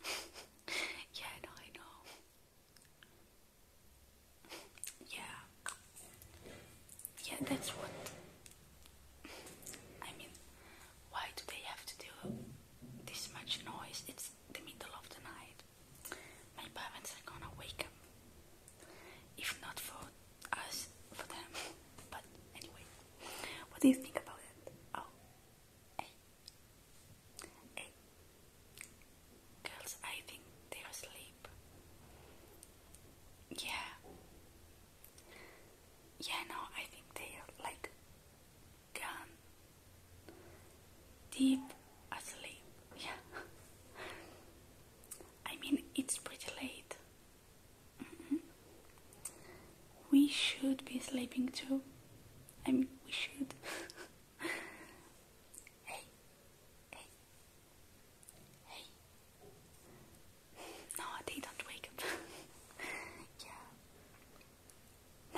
yeah, I know. yeah. Yeah, that's what. I mean, why do they have to do this much noise? It's the middle of the night. My parents are gonna wake up. If not for us, for them. But anyway. What do you think about it? Oh, hey, eh, eh. hey, girls, I think they're asleep. Yeah, yeah, no, I think they're like gone deep asleep. Yeah, I mean, it's pretty late. Mm-hmm. we should be sleeping too. I mean, we should. hey, hey, hey. No, they don't wake up. yeah.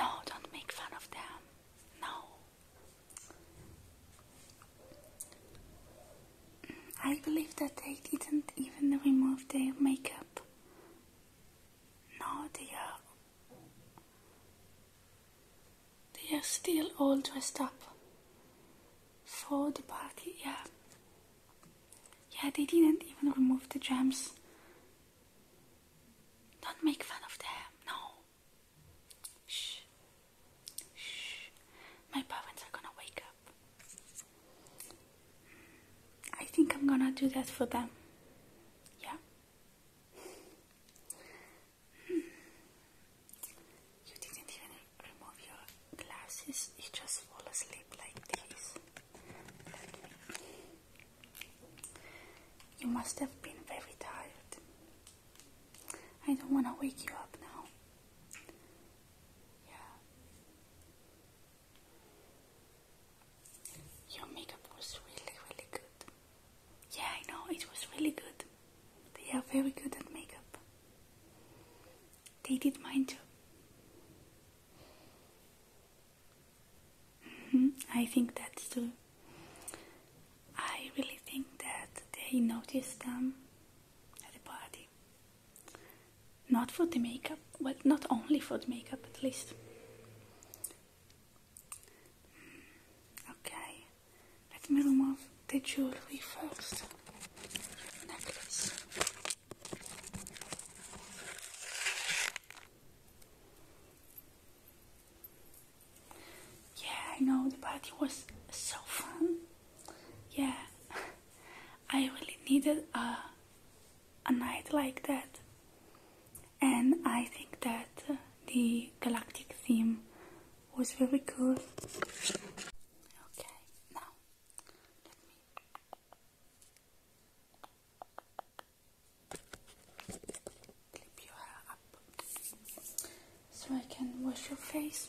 No, don't make fun of them. No. Mm, I believe that they didn't even remove their makeup no, dear. They are still all dressed up for the party, yeah. Yeah, they didn't even remove the gems. Don't make fun of them, no. Shh. Shh. My parents are gonna wake up. I think I'm gonna do that for them. Yeah? Hmm. You didn't even remove your glasses, you just fall asleep like this. You must have been very tired. I don't want to wake you up now. Yeah. Your makeup was really, really good. Yeah, I know, it was really good. They are very good at makeup. They did mine too. -hmm. I think that's true. I really think that they noticed them at the party not for the makeup, well, not only for the makeup at least. Hmm, okay, let me remove the jewelry first. Necklace. Yeah, I know the party was so fun. Yeah, I really needed a a night like that. And I think that the galactic theme was very cool. Okay, now let me. Clip your hair up so I can wash your face.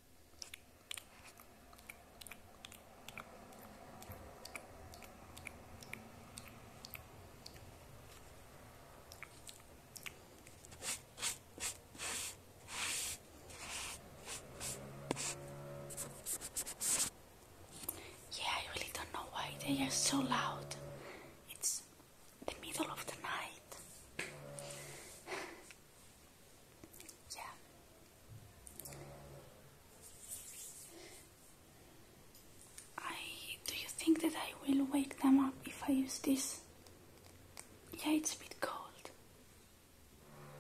Yeah, I really don't know why they are so loud. It's the middle of the night. Yeah. I do you think that I will wake them up if I use this? Yeah, it's a bit cold.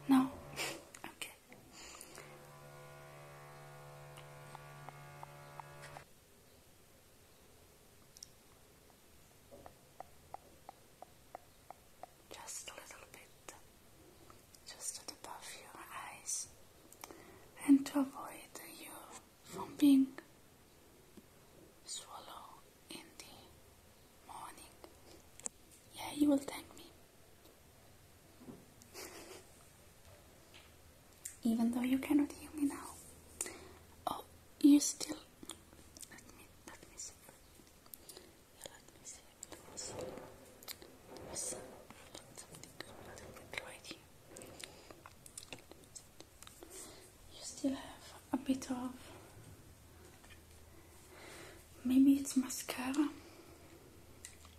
No. okay just a little bit, just above your eyes, and to avoid you from being swallowed in the morning. Yeah, you will thank me. Even though you cannot hear me now. Oh, you still let me see. There was, something right here. You still have a bit of. Maybe it's mascara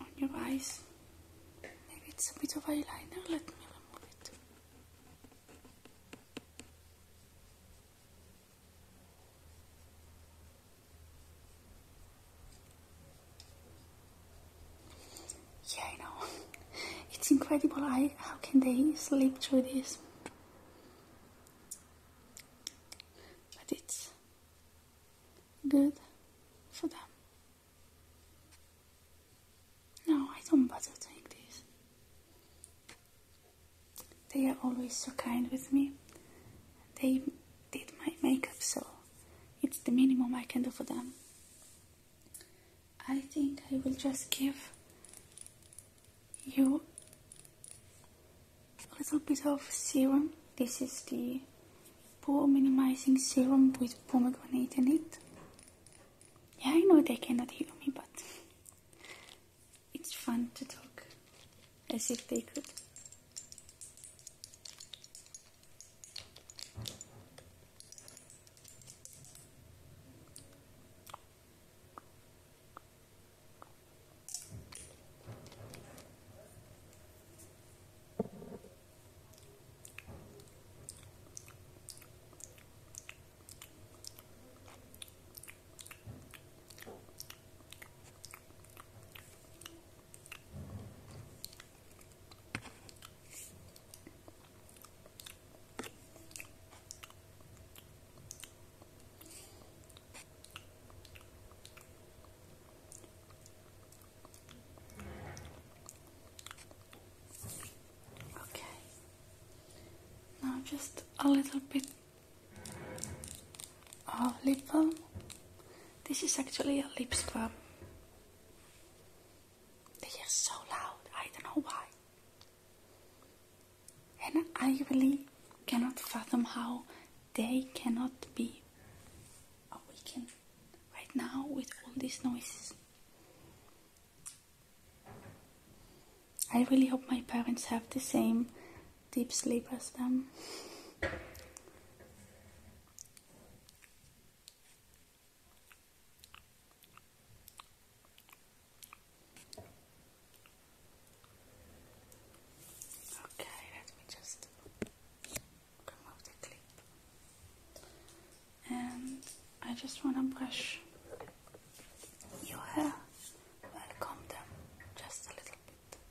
on your eyes. Maybe it's a bit of eyeliner. Let me remove it. Yeah, I know. It's incredible. I how can they sleep through this? But it's good for them. No, I don't bother doing this. They are always so kind with me. They did my makeup, so it's the minimum I can do for them. I think I will just give you a little bit of serum. This is the pore minimizing serum with pomegranate in it. Yeah, I know they cannot hear me, but it's fun to talk as if they could. Okay, now just a little bit Oh, lip balm. This is actually a lip scrub. They are so loud, I don't know why. And I really cannot fathom how they cannot be awakened right now with all these noises. I really hope my parents have the same deep sleep as them. Okay, let me just remove the clip. And um, I just want to brush your hair, well comb them just a little bit.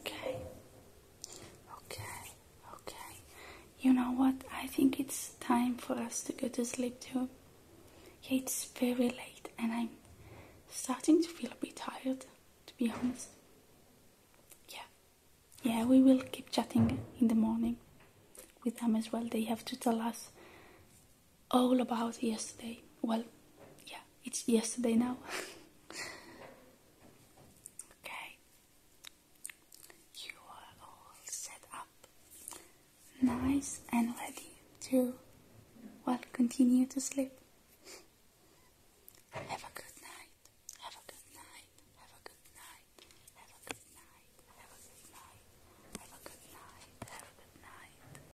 Okay. Okay. Okay. You know what? I think it's time for us to go to sleep too. Yeah, it's very late and I'm starting to feel a bit tired, to be honest. Yeah. Yeah, we will keep chatting in the morning with them as well. They have to tell us all about yesterday. Well, yeah, it's yesterday now. okay, you are all set up, nice and ready to, well, continue to sleep. Have a good night. Have a good night. Have a good night. Have a good night. Have a good night. Have a good night. Have a good night.